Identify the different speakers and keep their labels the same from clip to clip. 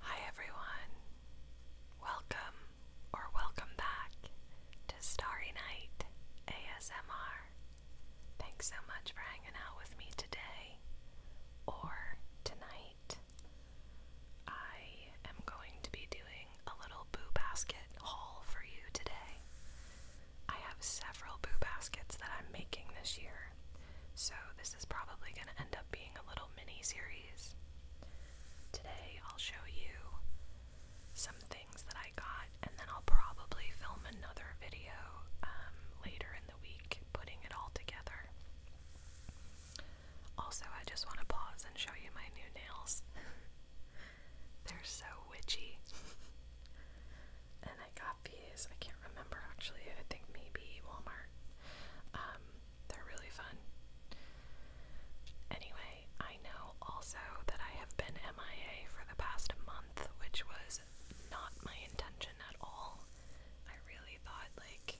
Speaker 1: Hi everyone. Welcome or welcome back to Starry Night ASMR. Thanks so much for hanging out with me today or tonight. I am going to be doing a little boo basket haul for you today. I have several boo baskets that I'm making this year. So this is probably going to end up being a little mini series. Today I'll show you some things that I got, and then I'll probably film another video um, later in the week putting it all together. Also, I just want to pause and show you my new nails. They're so witchy. and I got these. I can't remember actually. I think maybe Walmart. Um, they're really fun. Anyway, I know also that I have been MIA for the past month, which was not my intention at all. I really thought, like,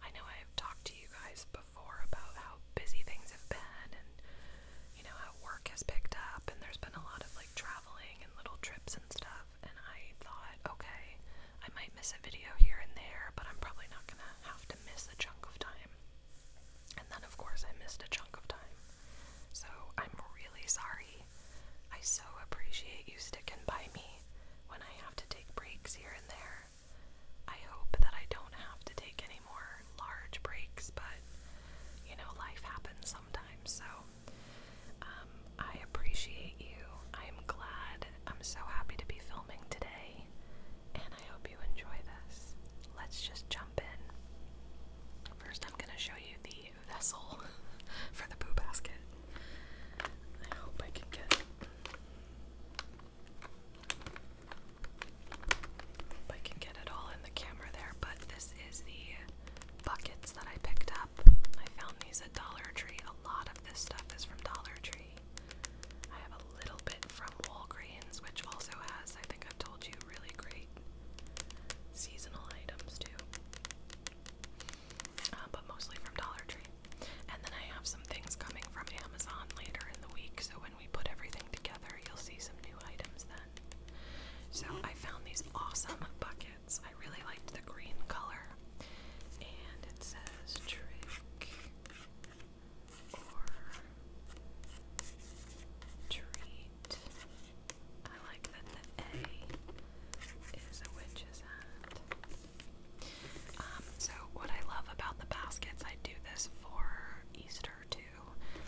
Speaker 1: I know I've talked to you guys before about how busy things have been and, you know, how work has picked up, and there's been a lot of, like, traveling and little trips and stuff and I thought, okay, I might miss a video here and there, but I'm probably not gonna have to miss a chunk of time. And then, of course, I missed a chunk of time. So I'm really sorry. I so appreciate you sticking by me when I have to take breaks here and there. I hope that I don't have to take any more large breaks, but you know, life happens sometimes, so um, I appreciate you. I'm glad. I'm so happy to be filming today, and I hope you enjoy this. Let's just jump in. First, I'm going to show you the vessel for the poo basket. I hope I can get. I can get it all in the camera there, but this is the buckets that I picked up. I found these at Dollar Tree. A lot of this stuff is from Dollar Tree. I have a little bit from Walgreens, which also has, I think I've told you, really great seasonal items too. Uh, but mostly from Dollar Tree. And then I have some things coming from Amazon later in the week, so when we put everything together, you'll see some new items then. So I found these awesome buckets. I really liked the green color. And it says trick or treat. I like that the A is a witch's hat. Um, so what I love about the baskets, I do this for Easter too,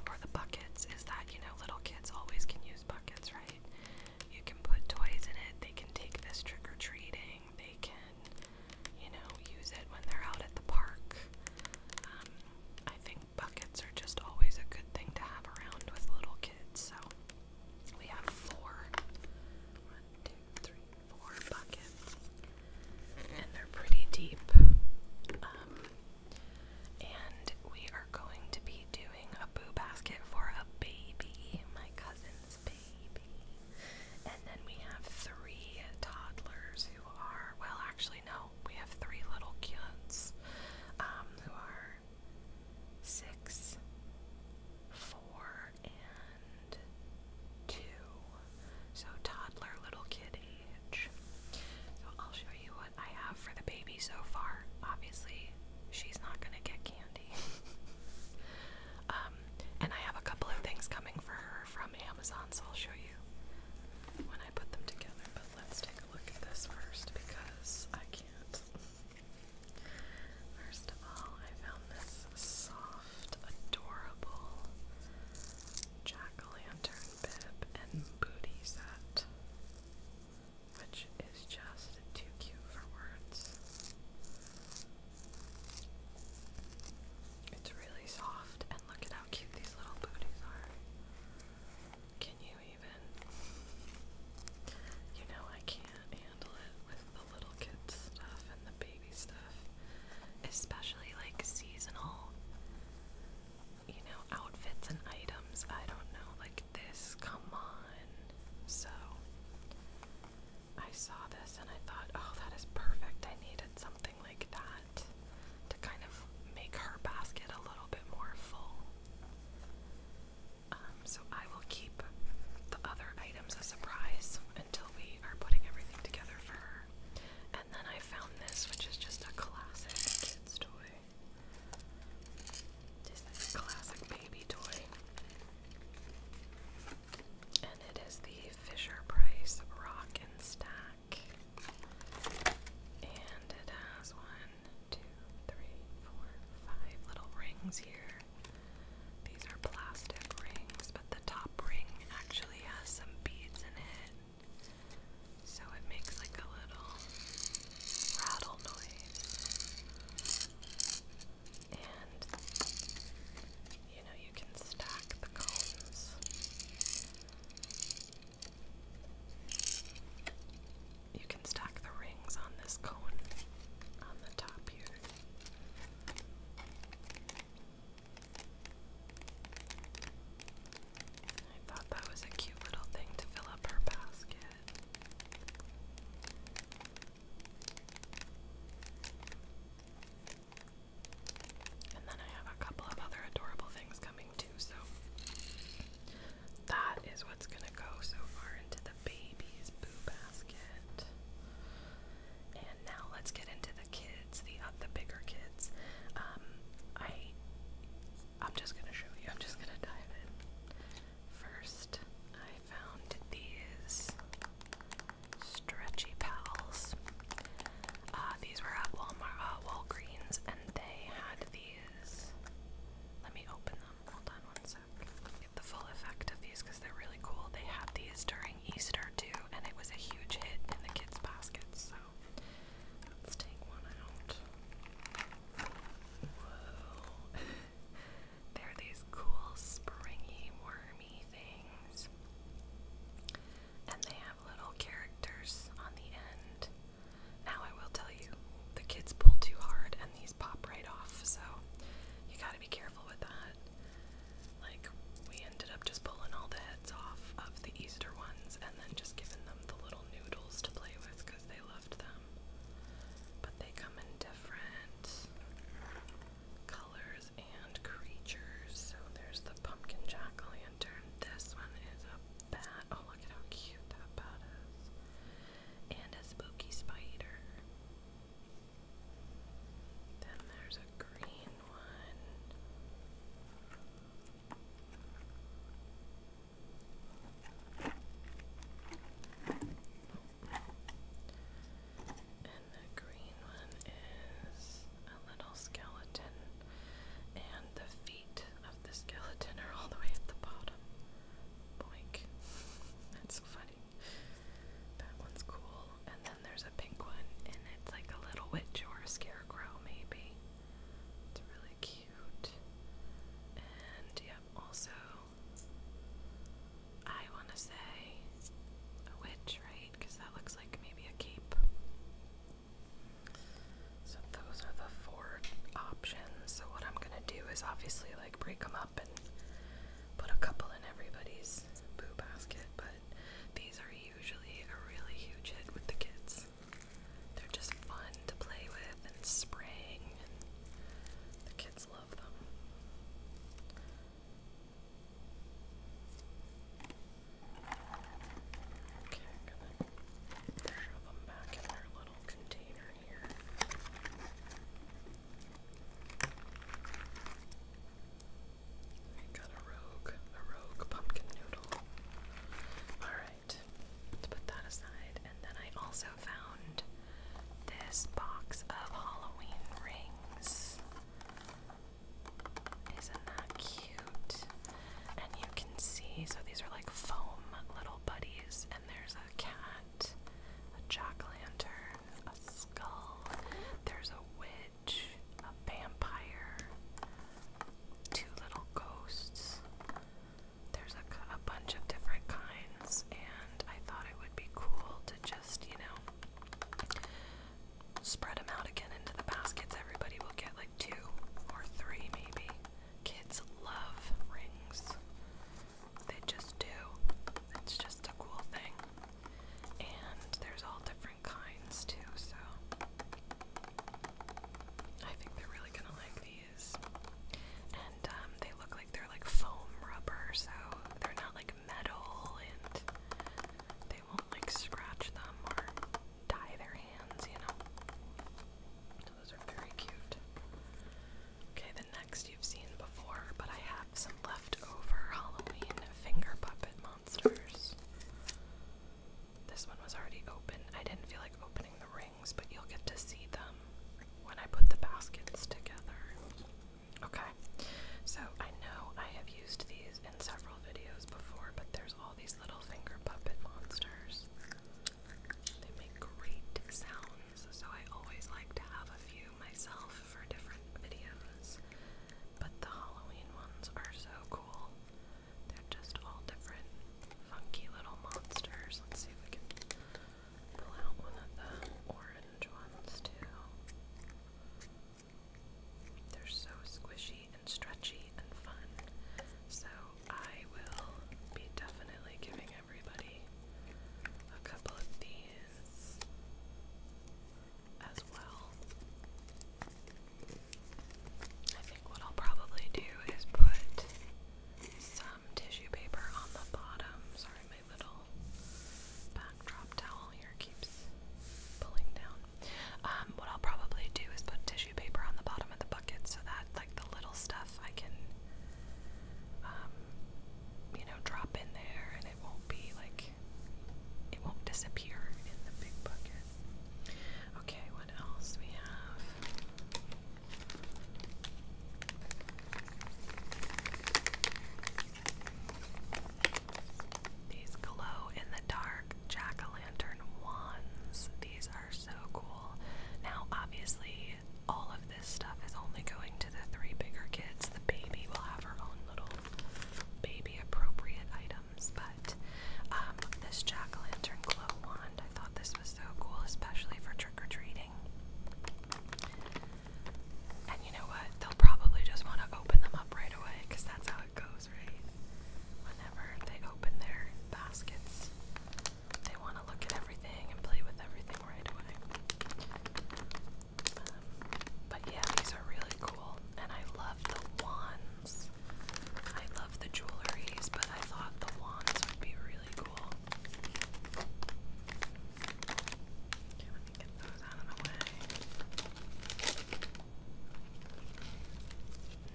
Speaker 1: or the buckets, is that, you know, little kids always can use buckets, right? You can put toys in it. They can take this trick or treating. They can, you know, use it when they're out at the park. Um, I think buckets are just always a good thing to have around with little kids. So we have four. One, two, three, four buckets. And they're pretty deep. Um, and we are going to be doing a boo basket for a baby, my cousin's baby. And then we have three toddlers who are, well, actually, no, we have three little kids um, who are six, four, and two. So, toddler, little kid age. So, I'll show you what. I have for the baby so far. Obviously, she's not going to get candy. Um, and I have a couple of things coming for her from Amazon, so I'll show you when I put them together. But let's take a look at this first because I can't. First of all, I found this soft, adorable jack o' lantern bib and booty set which is just too cute for words. It's really soft, and look at how cute these little booties are. Can you even? You know, I can't handle it with the little kids stuff and the baby stuff, especially like seasonal, you know, outfits and items. I don't know, like this, come on. So I saw this and I thought, oh, that is perfect. I needed something like that to kind of make her basket a little bit more full. Um, so I will keep the other items a surprise until we are putting everything together for her. And then I found this, which is just a classic kid's toy. Disney's classic baby toy. And it is the Fisher Price Rock and Stack. And it has one, two, three, four, five little rings here. These are plastic rings, but the top ring actually has some beads in it so it makes like a little rattle noise. And you know, you can stack the cones. You can stack the rings on this cone on the top here. I thought that was a cute little thing to fill up her basket. And then I have a couple of other adorable things coming too, so that is what's gonna go so far into the baby's boo basket. And now let's get into the kids, the uh, the bigger kids. Um, I I'm just gonna show you. I'm just gonna dive in. First, I found these stretchy pals. Uh, these were at Walmart, uh, Walgreens, and they had these. Let me open them. Hold on one sec. Get the full effect of these because they're really cool. They had these during Easter too, and it was a huge hit in the kids' baskets. So let's take one out. Whoa. They're these cool springy wormy things. And they have little characters on the end. Now I will tell you, the kids pull too hard and these pop right off, so you gotta be careful with that. Like, we ended up just pulling all the heads off of the Easter ones and then just giving them the little noodles to play with because they loved them. But they come in different colors and creatures. So there's the pumpkin jack lantern. This one is a bat. Oh, look at how cute that bat is. And a spooky spider. Then there's a green one. And the green one is a little skeleton, and the feet of the skeleton are all the way at the bottom. Boink. That's so funny. That one's cool. And then there's a pink one, and it's like a little witch or a scarecrow, maybe. It's really cute. And yep, also, I want to say a witch, right? Because that looks like maybe a cape. So those are the four options. So what I'm gonna do is obviously like break them up and put a couple in everybody's boo basket, but these are usually a really huge hit with the kids. They're just fun to play with in spring, the kids love them. Okay, I'm gonna shove them back in their little container here. I got a rogue, a rogue pumpkin noodle. All right let's put that aside. And then I also found this box of Halloween rings. Isn't that cute? And you can see, so these are like foam little buddies, and there's a cat, a jack lantern, a skull, there's a witch, a vampire, two little ghosts. There's a, bunch of different kinds, and I thought it would be cool to just, you know, spread them out again into the baskets. Everybody will get like two or three, maybe. Kids love rings, they just do. It's just a cool thing. And there's all different kinds too, so I think they're really gonna like these. And um, they look like they're like foam rubber, so they're not like metal and they won't like scratch them or dye their hands, you know. So those are very cute. Okay, the next you've seen before, but I have some leftover Halloween finger puppet monsters. This one was already open. I didn't feel like opening the rings, but you'll get to see them when I put the baskets together. Okay, so I know I have used these in several videos before, but there's all these little finger puppet monsters. They make great sounds, so I always like to have a few myself for different videos. But the Halloween ones are so cool. They're just all different funky little monsters. Let's see if we can pull out one of the orange ones too. They're so squishy and stretchy and fun. So I will be definitely giving everybody a couple of these as well. I think what I'll probably do is put some tissue paper on the bottom. Sorry, my little backdrop towel here keeps pulling down. Um, what I'll probably do is put tissue paper on the bottom of the bucket so that, like, the little stuff I can, um, you know, drop in there and it won't be like it won't disappear in the big bucket. Okay, what else we have? These glow in the dark jack o' lantern wands. These are so cool. Now, obviously, all of this stuff is only going to the three bigger kids. The baby will have her own little baby appropriate item but um, this jack o' lantern glow wand, I thought this was so cool, especially for trick or treating. And you know what? They'll probably just want to open them up right away that's how it goes, right? Whenever they open their baskets, they want to look at everything and play with everything right away. Um, but yeah, these are really cool, and I love the wands. I love the jewelries, but I thought the wands would be really cool. let me get those out of the way.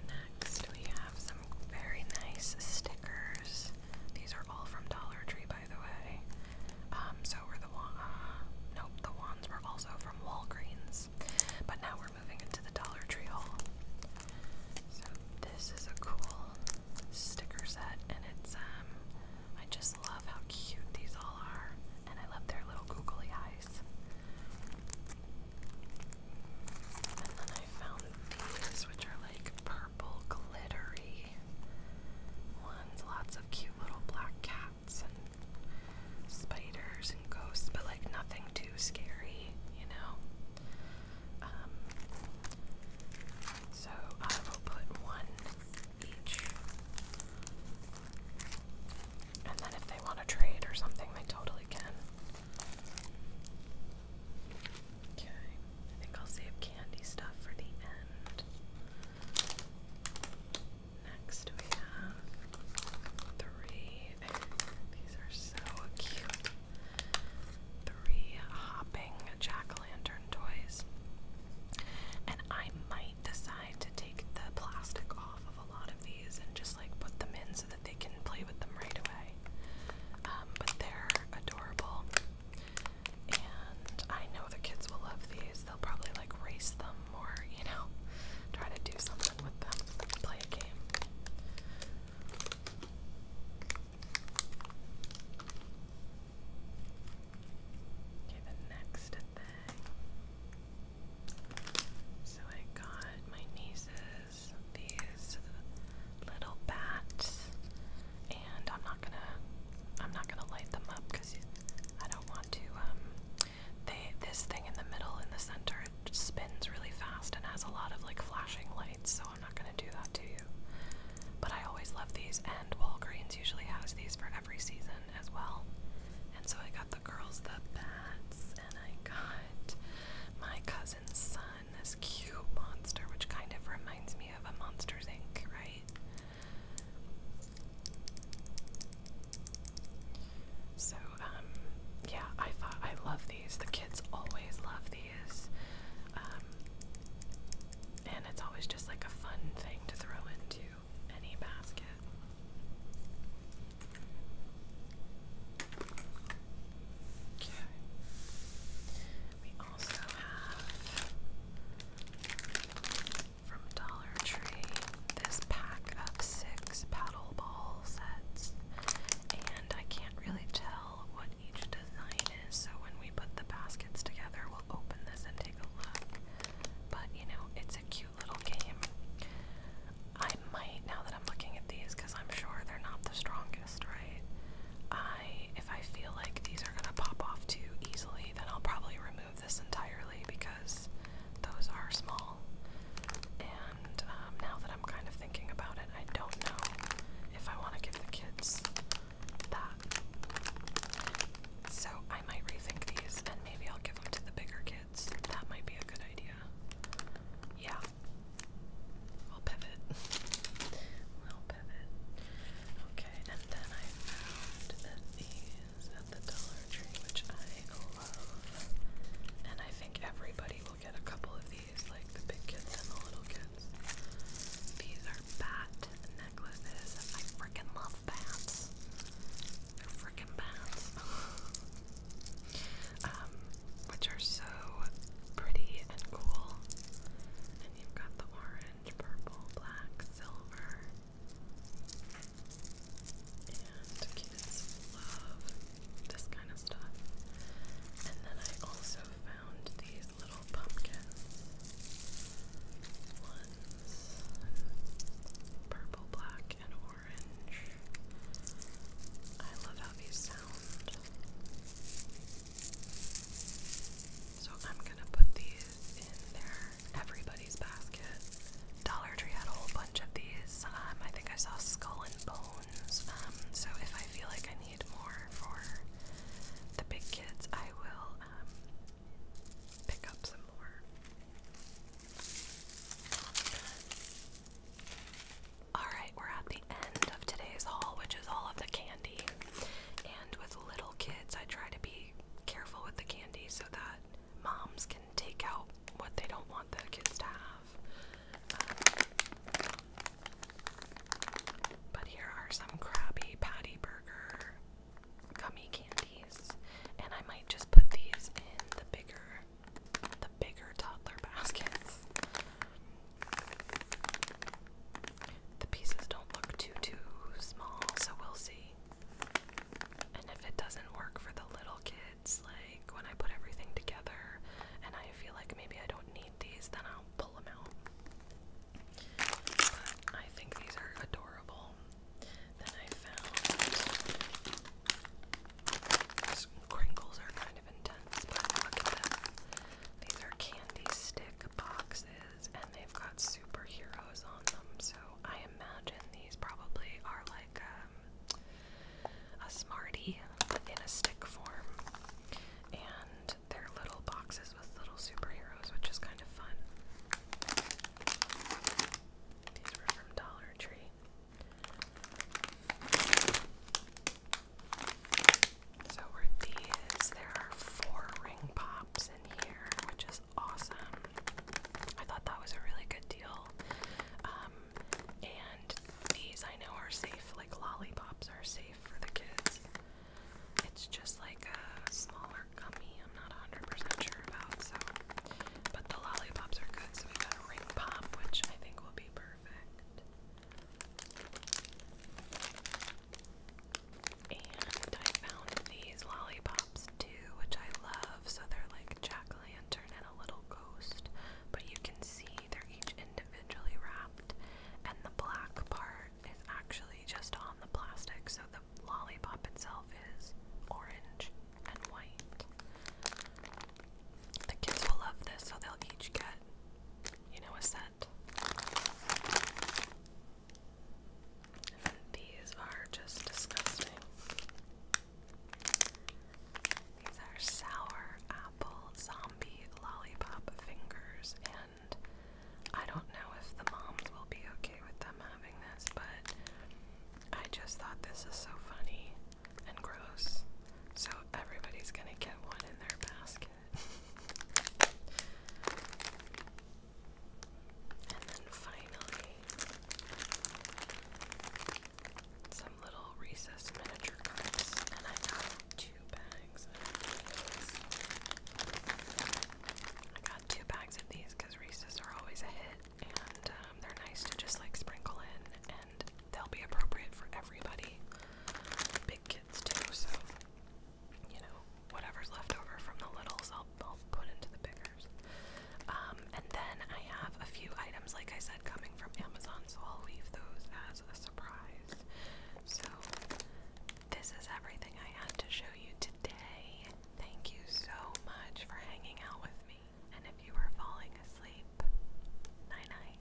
Speaker 1: Next, we have some very nice stickers. These are all from Dollar Tree, by the way. Um, so were the wands. Uh, nope, the wands were also from Walgreens. But now we're moving into the Dollar Tree haul. So this is a cool sticker set, and it's um, I just love how cute these all are, and I love their little googly eyes. And then I found these, which are like purple glittery ones, lots of cute little black cats spiders and ghosts, but like nothing too scary, you know. Um, so I will put one each, and then if they want to trade or something, they totally can. Okay, I think I'll save candy stuff for the end. Next we have three. These are so cute. Three hopping jack-o'-lantern toys. And I might decide to take the plastic off of a lot of these and just like put them in so that they can play with them right away. Um, but they're adorable. And I know the kids will love these. They'll probably like race them or, you know, try to do something with them, play a game. Okay, the next thing. So I got my nieces these little bats, and I'm not gonna, I'm not gonna light them up because I don't want to um, they this thing in the middle in the center it spins really fast and has a lot of like flashing lights, so I'm not gonna do that to you. But I always love these, and Walgreens usually has these for every season as well. And so I got the girls the bats, and I got my cousin's son, this cute monster, which kind of reminds me of a Monsters Inc., right? So, um, yeah, I thought I love these. The kids always love these. Um, and it's always just like a fun thing to throw into any basket. Okay. We also have from Dollar Tree this pack of six paddle ball sets, and I can't really tell what each design is, so when we put the baskets together, we'll open this and take a look. But you know, it's a cute little game. I might, now that I'm looking at these, because I'm sure they're not the strongest, right? I, if I feel like these are gonna pop off too easily, then I'll probably remove this entirely because those are small. And um, now that I'm kind of thinking about it, I don't know if I want to give the kids that. So I might rethink these and maybe I'll give them to the bigger kids. That might be a good idea. Yeah. I'll pivot. I'll pivot. Okay, and then I found the at the Dollar Tree, which I love. And I think everybody will get a couple of these, like the big kids and the little kids. These are bat necklaces. I freaking love bats. They're freaking bats. Um, which are so pretty and cool. And you've got the orange, purple, black, silver and kids love this kind of stuff. And then I also found these little pumpkins ones purple, black, and orange. I love how these sound. So I'm gonna put these in there everybody's basket. Dollar Tree had a whole bunch of these. Um, I think I saw Skull and Bones. Um, so if I feel like I need more for the big kids, I will um, pick up some more. Alright, we're at the end of today's haul, which is all of the candy. And with little kids, I try to be careful with the candy so that moms can take out what they don't want their kids to have. Um, but here are some Krabby Patty Burger gummy candies, and I might just put these in the bigger, the bigger toddler baskets. The pieces don't look too too small, so we'll see. And if it doesn't work for the little kids, like when I put everything together and I feel like maybe I don't need these, then I'll pull them out. But I think these are adorable. Then I found crinkles are kind of intense, but look at them. These are candy stick boxes, and they've got superheroes on them, so I imagine these probably are like um, a Smartie in a stick form. And they're little boxes with little superheroes, which is kind of fun. These were from Dollar Tree. So were these. There are four ring pops in here, which is awesome. I thought that was a really good deal. Um, and these I know are safe, like lollipops are safe for the kids. It's just like a smaller gummy, I'm not 100% sure about, so. But the lollipops are good, so we got a ring pop, which I think will be perfect. And I found these lollipop too, which I love. So they're like jack o' lantern and a little ghost, but you can see they're each individually wrapped, and the black part is actually just on the plastic, so the lollipop itself is orange and white. The kids will love this, so they'll each get, you know, a set these are just disgusting. These are sour apple zombie lollipop fingers, and I don't know if the moms will be okay with them having this, but I just thought this is so funny and gross. So everybody's gonna get one in their basket. And then finally, some little recess miniature cups, and I got two bags I got two bags of these because recesses are always a hit, and um, they're nice to just like sprinkle in, and they'll be appropriate for everybody, big kids too. So, you know, whatever's left over from the littles, I'll, put into the biggers. Um, and then I have a few items, like I said, coming from Amazon, so I'll leave those as a surprise. So, this is everything I had to show you today. Thank you so much for hanging out with me. And if you are falling asleep, night night.